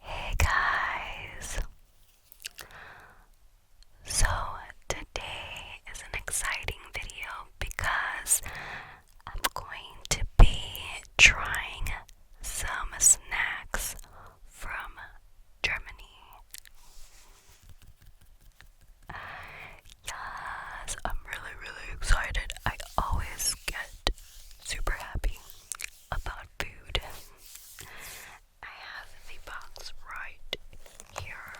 Hey guys! So today is an exciting video because I'm going to be trying some snacks from Germany. Yes, I'm really, really excited. I always get super happy about food. I have the box right here.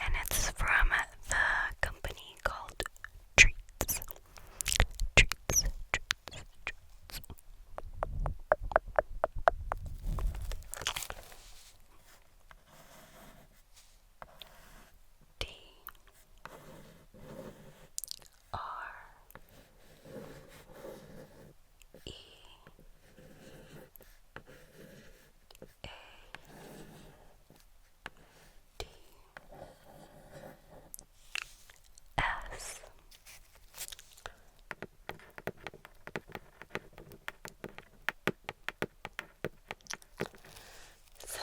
And it's from the company called Treats treats, treats, treats. D R E A D S so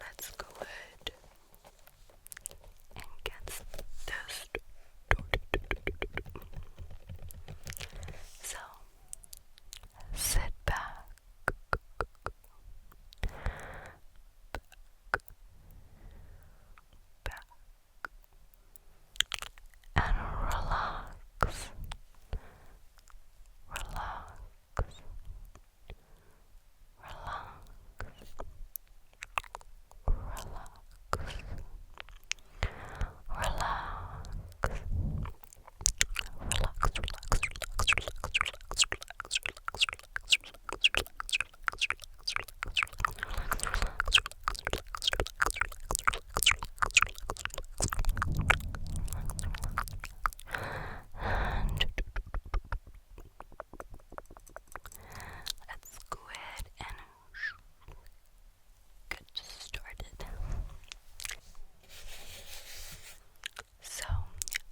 let's go ahead and get this started. So sit back, and relax, relax, relax. Relax, relax, Let's go ahead and get started. So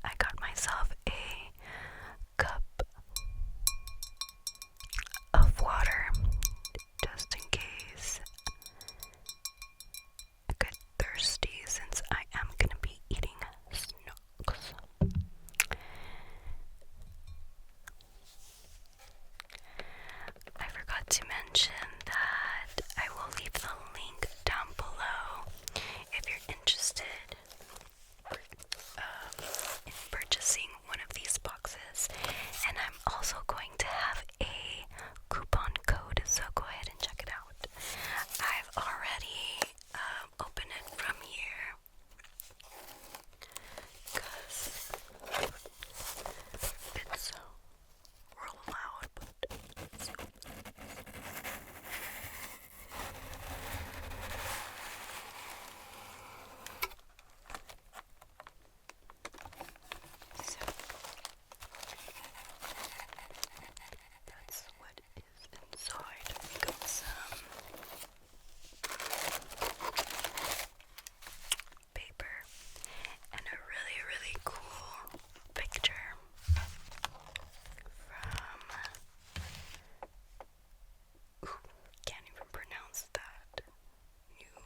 I got myself a cup of water just in case I get thirsty since I am gonna be eating snacks. I forgot to mention that I will leave the link down below if you're interested um, in purchasing one of these boxes. And I'm also going to have a coupon code, so go ahead and check it out. I've already um, opened it from here because it's so that's what is inside. We got some paper and a really, really cool picture from. can't even pronounce that. New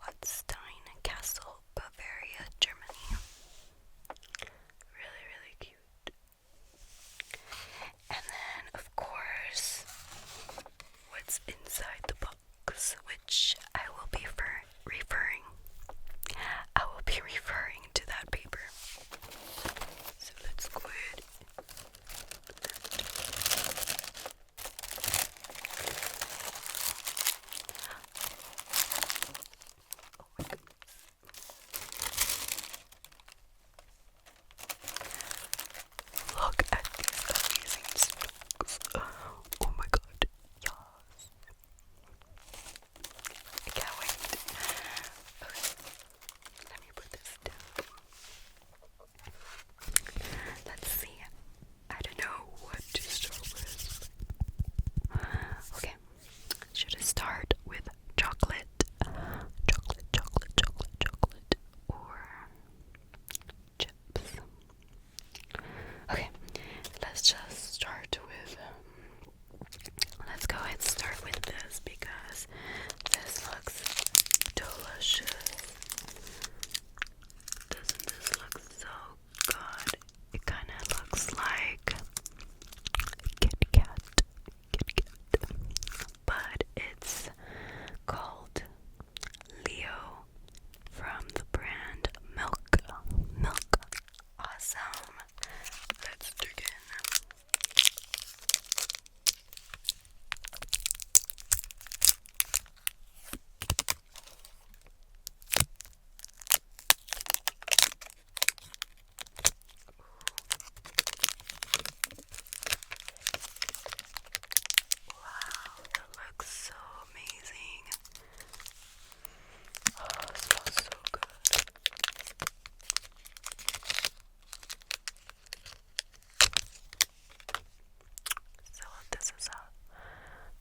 Watstein Castle, Bavaria, Germany. Really, really cute. And then, of course, what's inside the box, which I will be first referring. I will be referring to that paper. So let's go ahead. Look at these amazing snakes. Oh my god. Yes. I can't wait. Okay, let me put this down. Let's see. I don't know what to start with. Okay, should I start with chocolate? Chocolate, chocolate, chocolate, chocolate, or chips? Okay, let's just start with. Um, Let's go ahead and start with this because this looks delicious. Doesn't this look so good? It kind of looks like Kit Kat, but it's called Leo from the brand Milk Milk. Awesome. Let's dig in. Wow, that looks so amazing. Oh, smells so good. So this is how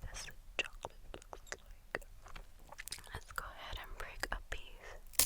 this chocolate looks like. Let's go ahead and break a piece.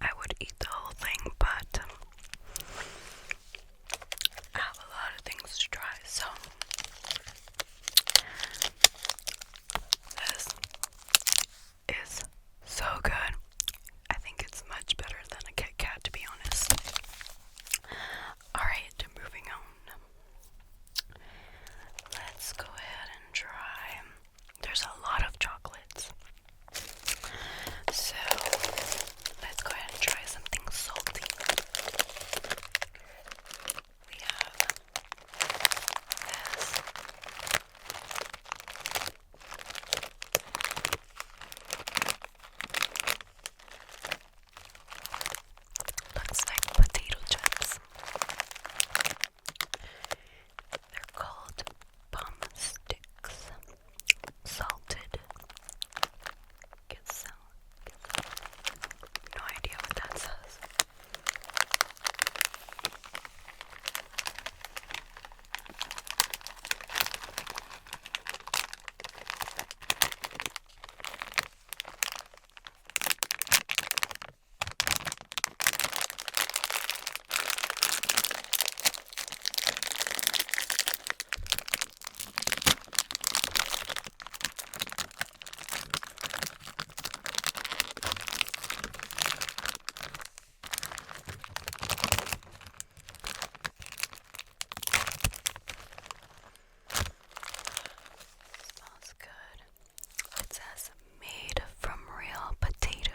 I would eat the whole thing, but um, I have a lot of things to try, so this is so good. I think it's much better than a Kit Kat, to be honest. Alright, moving on. Let's go ahead and try. There's a lot of chocolates. So let's go ahead and try something salty. We have this. Looks like potato chips. They're called bum sticks. Salted. No idea what that says. Smells good. It says made from real potatoes.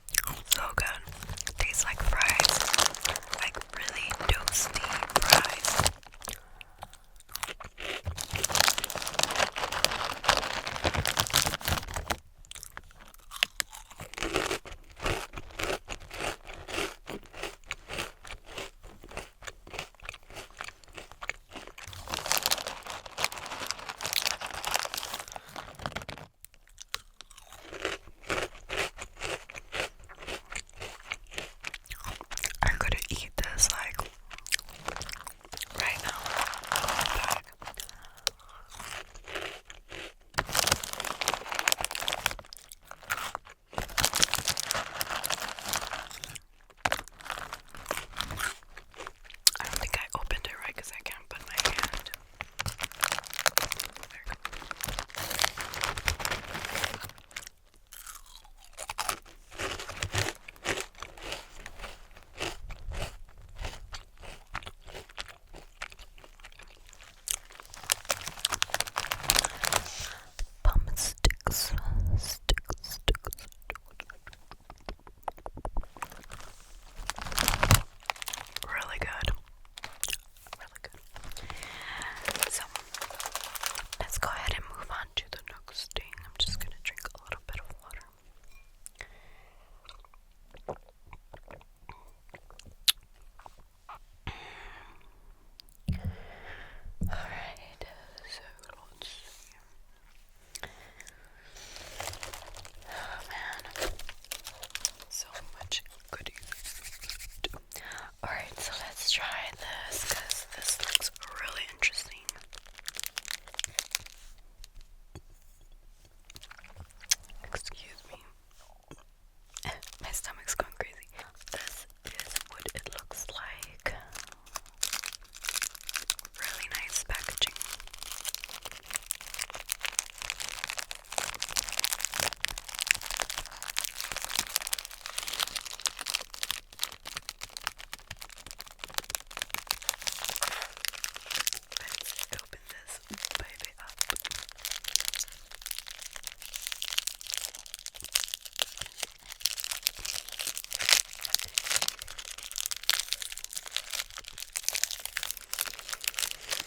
So good. Tastes like fries. Like really toasty fries. I'm gonna eat this like right now. I don't think I opened it right because I can't put my hand Bum sticks, sticks, sticks. Really good really good. So let's go ahead and move on to the next thing. I'm just gonna drink a little bit of water. Alright, so let Oh man, so much Alright, so let's try this because this looks really interesting. Excuse me. My stomach's going crazy. This is what it looks like. Really nice packaging. Let's open this baby up.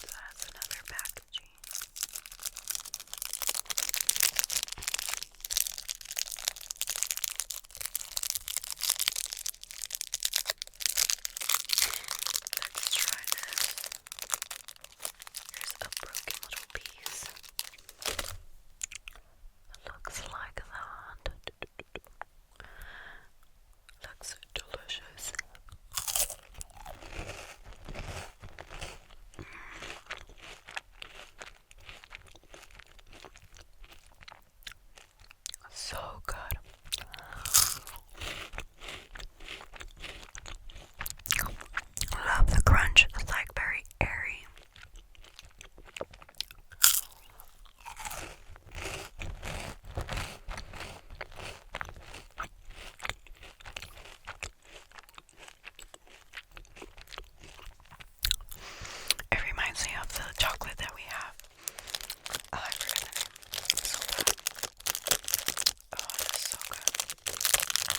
that's another packaging. Let's try this. There's a broken little piece. looks like that looks delicious. So good. Love the crunch. It's like very airy. It reminds me of the chocolate that we have. Oh, so bad. Oh, so good. Oh,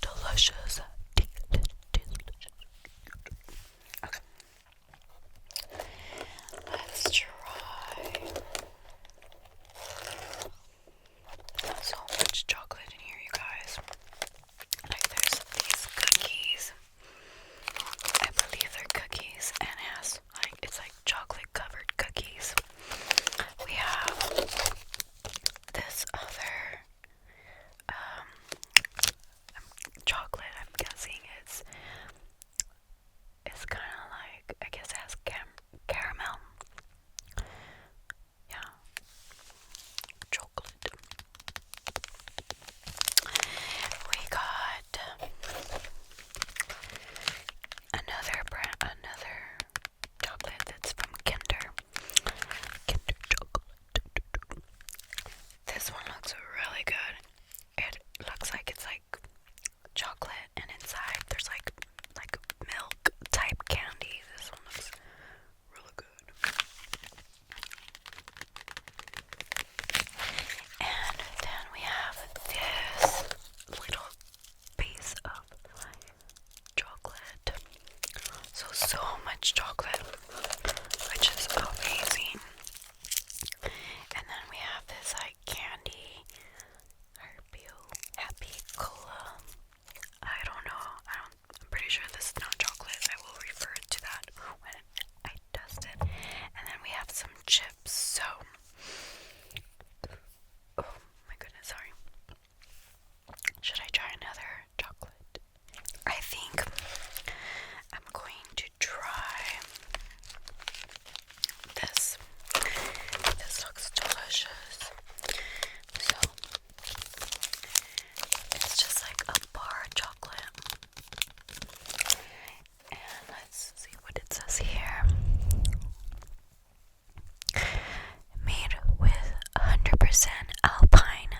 Delicious. Delicious. Okay. Let's try so much chocolate in here, you guys. Like, there's these cookies. I believe they're cookies, and it has like it's like chocolate covered cookies. We have this other um chocolate. I'm guessing it's it's kind of like I guess it has caramel. Yeah. Chocolate. We got another brand, another chocolate that's from Kinder. Kinder chocolate. This one looks really good. It looks like it's like chocolate and inside there's like like milk type candy. This one looks really good. And then we have this little piece of chocolate. So, so much chocolate, which is amazing. And then we have this like candy, Happy Cola I don't know. I am pretty sure this is not chocolate. I will refer to that when I dust it. And then we have some chips. So, oh my goodness, sorry. Should I try another chocolate? I think I'm going to try this. This looks delicious. So it's just like a bar of chocolate. And let's see what it says here. Made with 100% alpine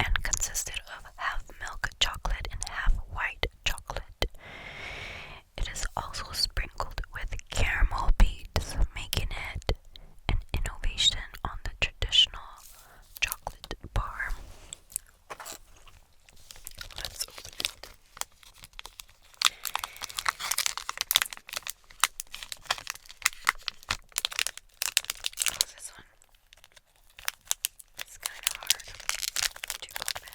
and consisted of half milk chocolate and half white chocolate. It is also sprinkled with caramel beads, making it an innovation on the traditional chocolate bar. Let's open it. Oh, this one? It's kind of hard to open.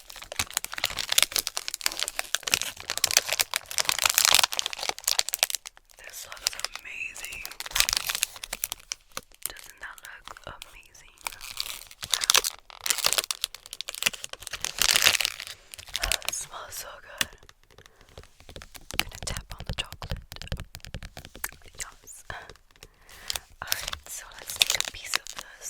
This looks amazing. Doesn't that look amazing? Oh, smells so good. gonna tap on the chocolate. Yes. so let's take a piece of this.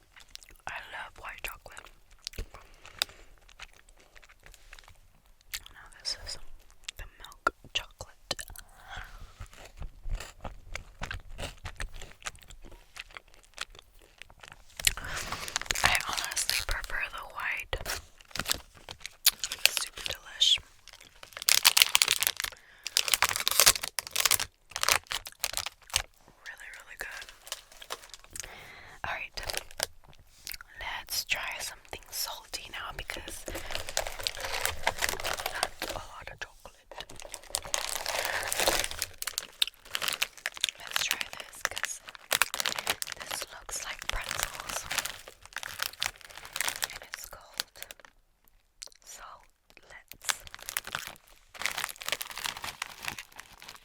I love white chocolate. Now this is the milk chocolate. I honestly prefer the white. super delish really, really good. Alright, let's try something salty now because not a chocolate. Let's try this because this looks like pretzels and it's cold. So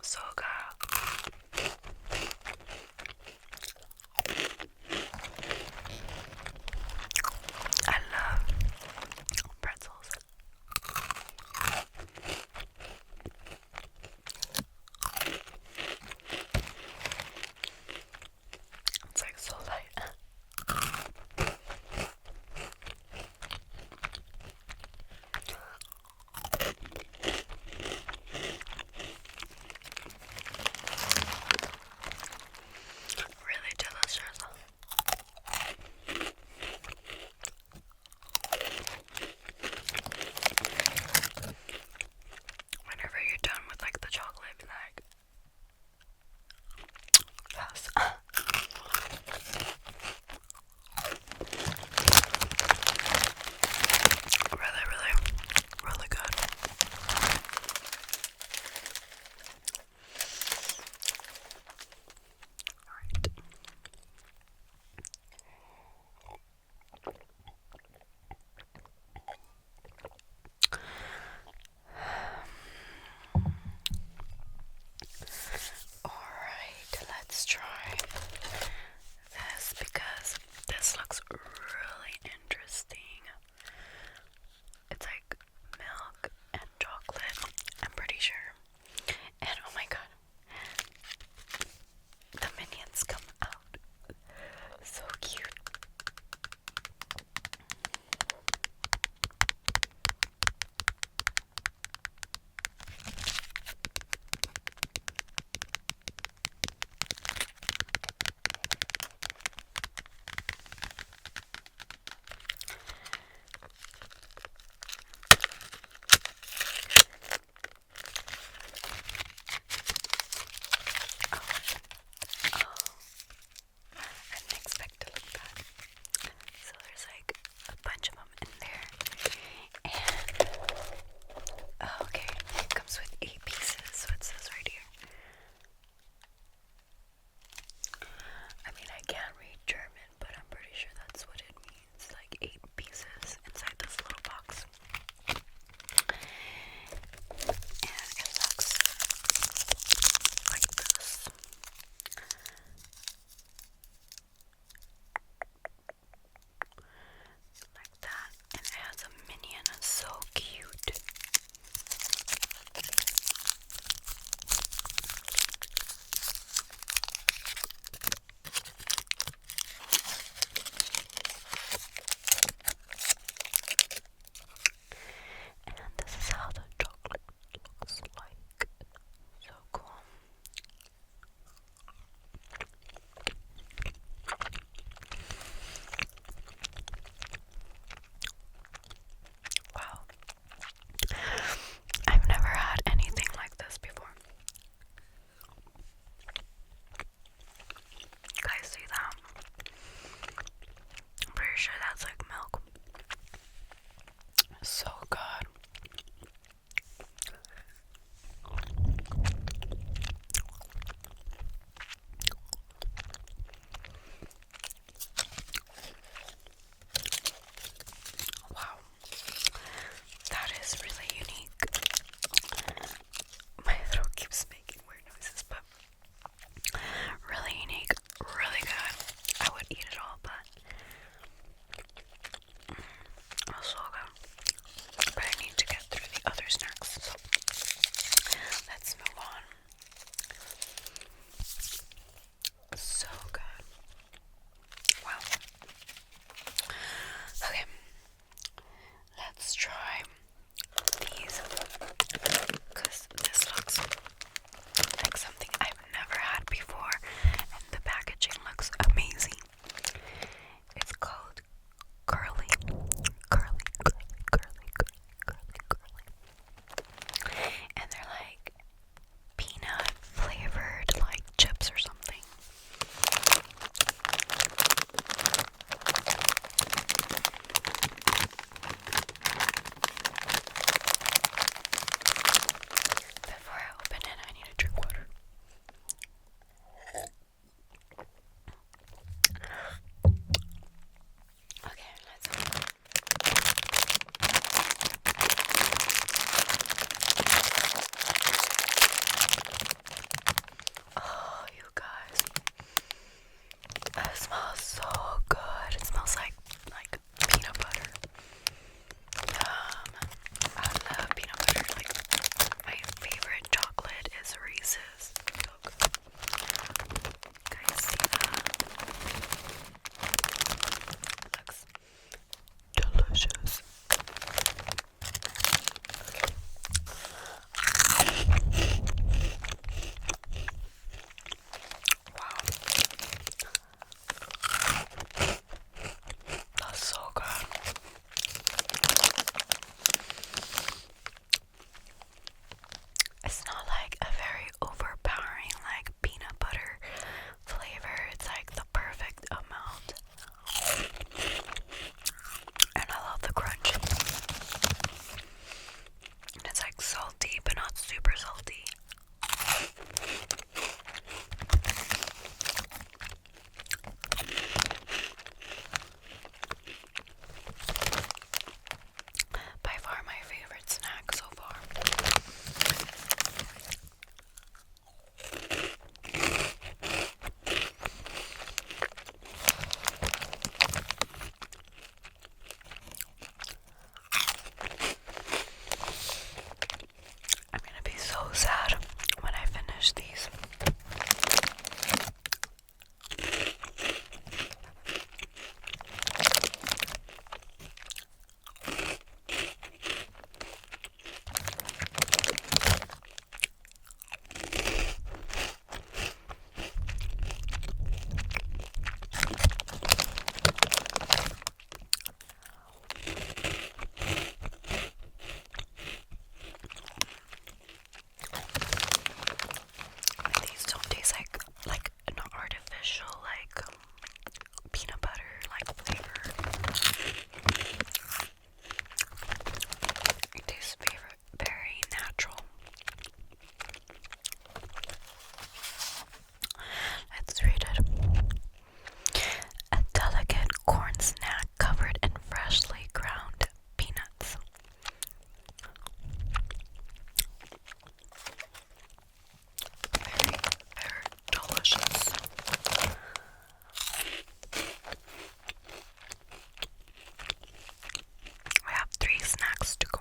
So, girl, I love pretzels. It's like so light. Really delicious whenever you're done with like the chocolate, like, really, really, really good. Alright, let's try this because this looks really interesting. It's like milk and chocolate, I'm pretty sure. And oh my god, the minions come out out. So cute. Oh, oh. oh, I didn't expect to look back. So there's like a bunch of them in there. And, oh, okay, it comes with eight pieces, so it says right here. I mean, I can't read German, but I'm pretty sure that's what it means. Like eight pieces inside this little box. And it looks like this. Like that. it has a minion. It's so cute. And this is how the chocolate looks like. So cool. Wow. I've never had anything like this before guys see that? I'm pretty sure that's like milk. So good. Wow, that is really unique. My throat keeps weird noises, but really unique, really good. I would eat it all, but mm, good. Uh, but I need to get through the other snacks, so let's move on. So good. Wow. Okay, Let's try these because this looks like something I've never had before, and the packaging looks amazing. It's called Curly, Curly, Curly, Curly, Curly, Curly, and they're like peanut flavored, like chips or something. Before I open it, I need to drink water. Okay, let's open it. Oh, you guys. It smells so good. It smells like like peanut butter. Yum. I love peanut butter. Like my favorite chocolate is Reese's. Milk. Guys, Looks delicious. That's so good. It's not like a very overpowering like peanut butter flavor. It's like the perfect amount and I love the crunch. And it's like salty, but not super salty. By far my favorite snack so far. I'm gonna be so sad when I finish these. These don't taste like like an artificial like peanut butter like flavor. It tastes very natural. Let's read it. A delicate corn snack covered in freshly ground peanuts. Very, very delicious. We have three snacks to go.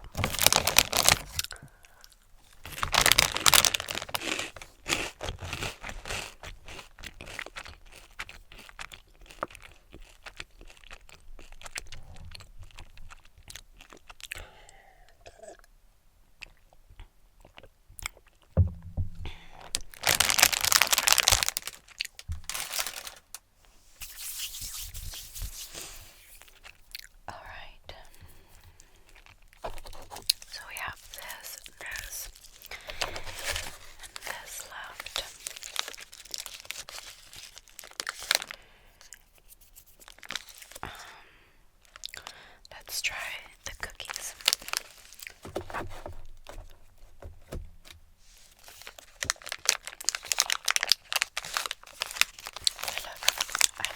Alright. So we have this, this, and this left. Um, let's try the cookies. I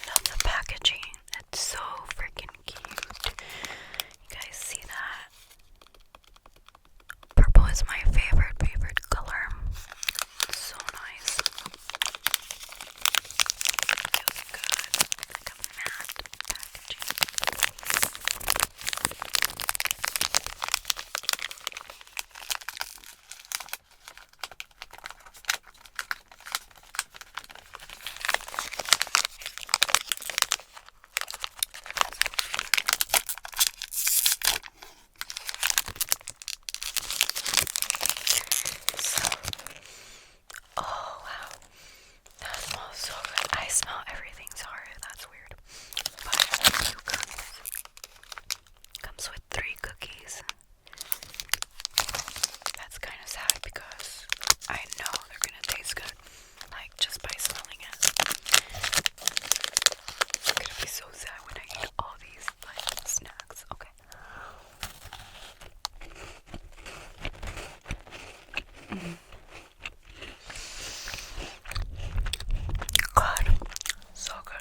love the packaging. It's so freaking cute. You guys see that? Purple is my favorite, favorite color. so nice. Feels good. Like matte packaging oh wow, that smells so good. I smell everything. Sorry, that's weird. Comes with three cookies. That's kind of sad because I know they're gonna taste good, like just by smelling it. gonna be so sad when I eat all these like snacks. Okay. Mm. God, so good.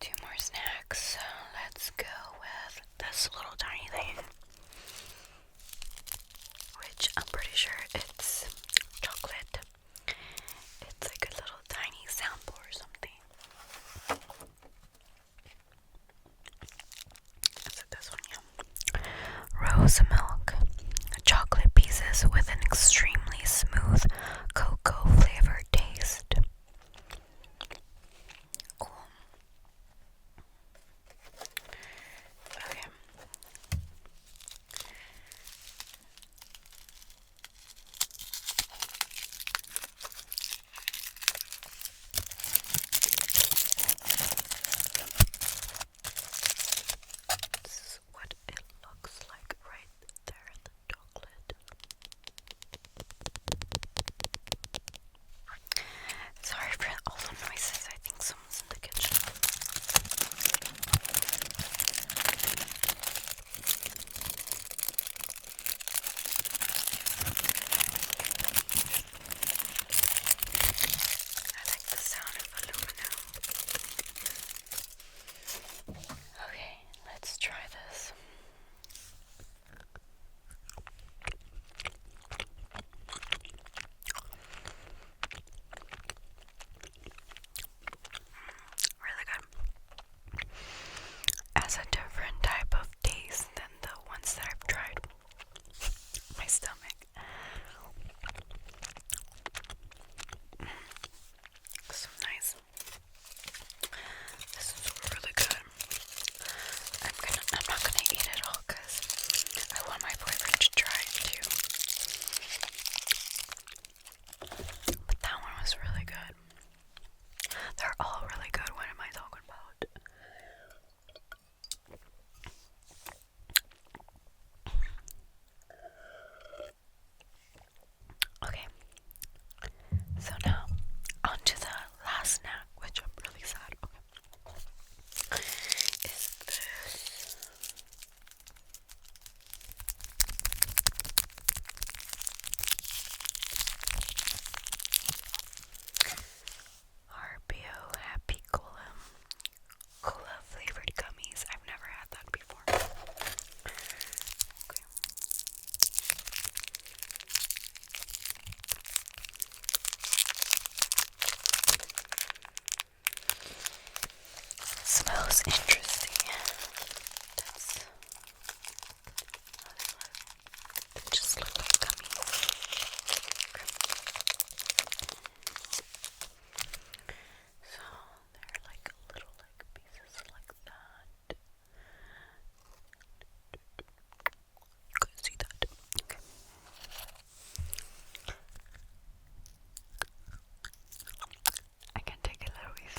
Two more snacks. So let's go with this little tiny thing, which I'm pretty sure it's chocolate. It's like a little tiny sample or something. Is it this one? Yeah. Rose milk. Chocolate pieces with an extremely smooth cocoa flavor taste. This what it looks like right there in the chocolate. Sorry for all the noises, I think someone's in the kitchen. Okay, let's try this. Mm, really good. As a different type of taste the ones that I've tried. My stomach. Mm. nice. This is really good. I'm gonna. I'm not gonna eat it all because I want my boyfriend to try it too. But that one was really good. They're all really good. What am I talking about? Okay. So now, on the last snack, which I'm really sad. Okay. Is this. RBO Happy Cola. Cola flavored gummies. I've never had that before. Smells interesting. They just look like gummies. So they're like little like pieces like that. You see that. Okay. I can take a little piece.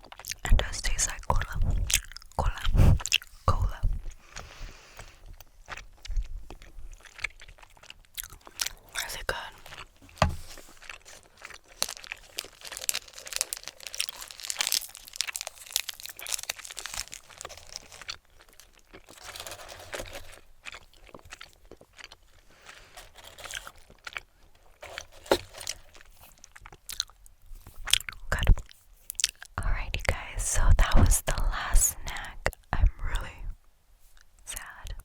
and does taste like cola, cola, cola. Is it good? Good. Alright, you guys, so that was the last snack. I'm really sad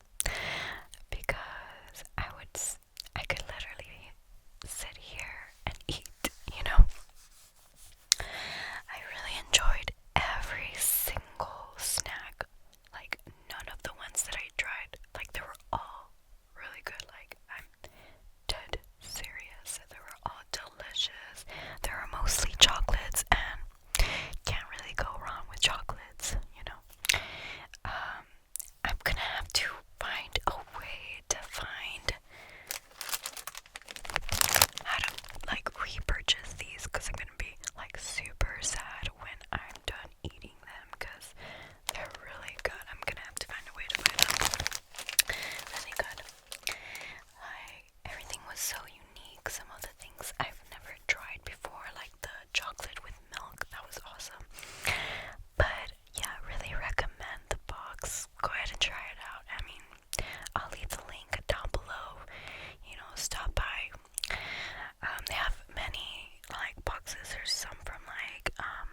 because I would, I could literally sit here and eat, you know. I really enjoyed every single snack, like none of the ones that I tried, like they were all really good. Like I'm dead serious. They are all delicious. They are mostly chocolates, and can't really go wrong with chocolates, you know. Um, I'm gonna have to find a way to find how like repurchase these I'm gonna be like super sad when I'm done eating them because they're really good. I'm gonna have to find a way to find them really good. Like everything was so unique. Some of the things I've never tried before, like the chocolate with milk, that was awesome. But yeah, really recommend the box. Go ahead and try it out. I mean, I'll leave the link down below. You know, stop by. Um, they have many like boxes. There's some from like um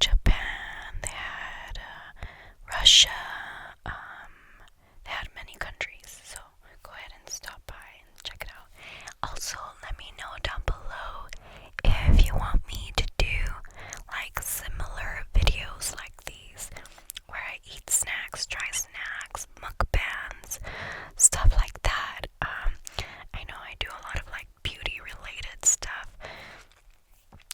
Japan, they had uh, Russia, um, they had many countries. So go ahead and stop by and check it out. Also, let me know down below if you want me to do like similar videos like these where I eat snacks, try snacks, mukbangs, stuff like that. Um, I know I do a lot of like beauty related stuff.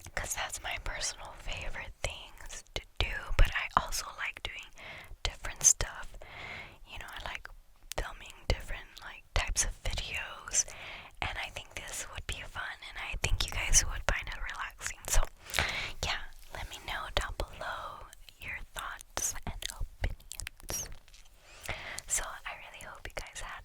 Because that's my personal favorite things to do, but I also like doing different stuff. You know, I like filming different like types of videos, and I think this would be fun, and I think you guys would find it relaxing. So, yeah, let me know down below your thoughts and opinions. So, I really hope you guys had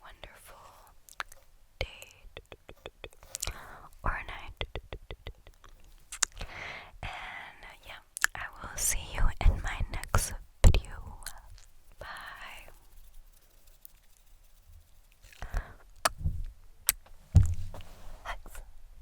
wonderful day or night. And yeah, I will see you in my next video. Bye. Hugs.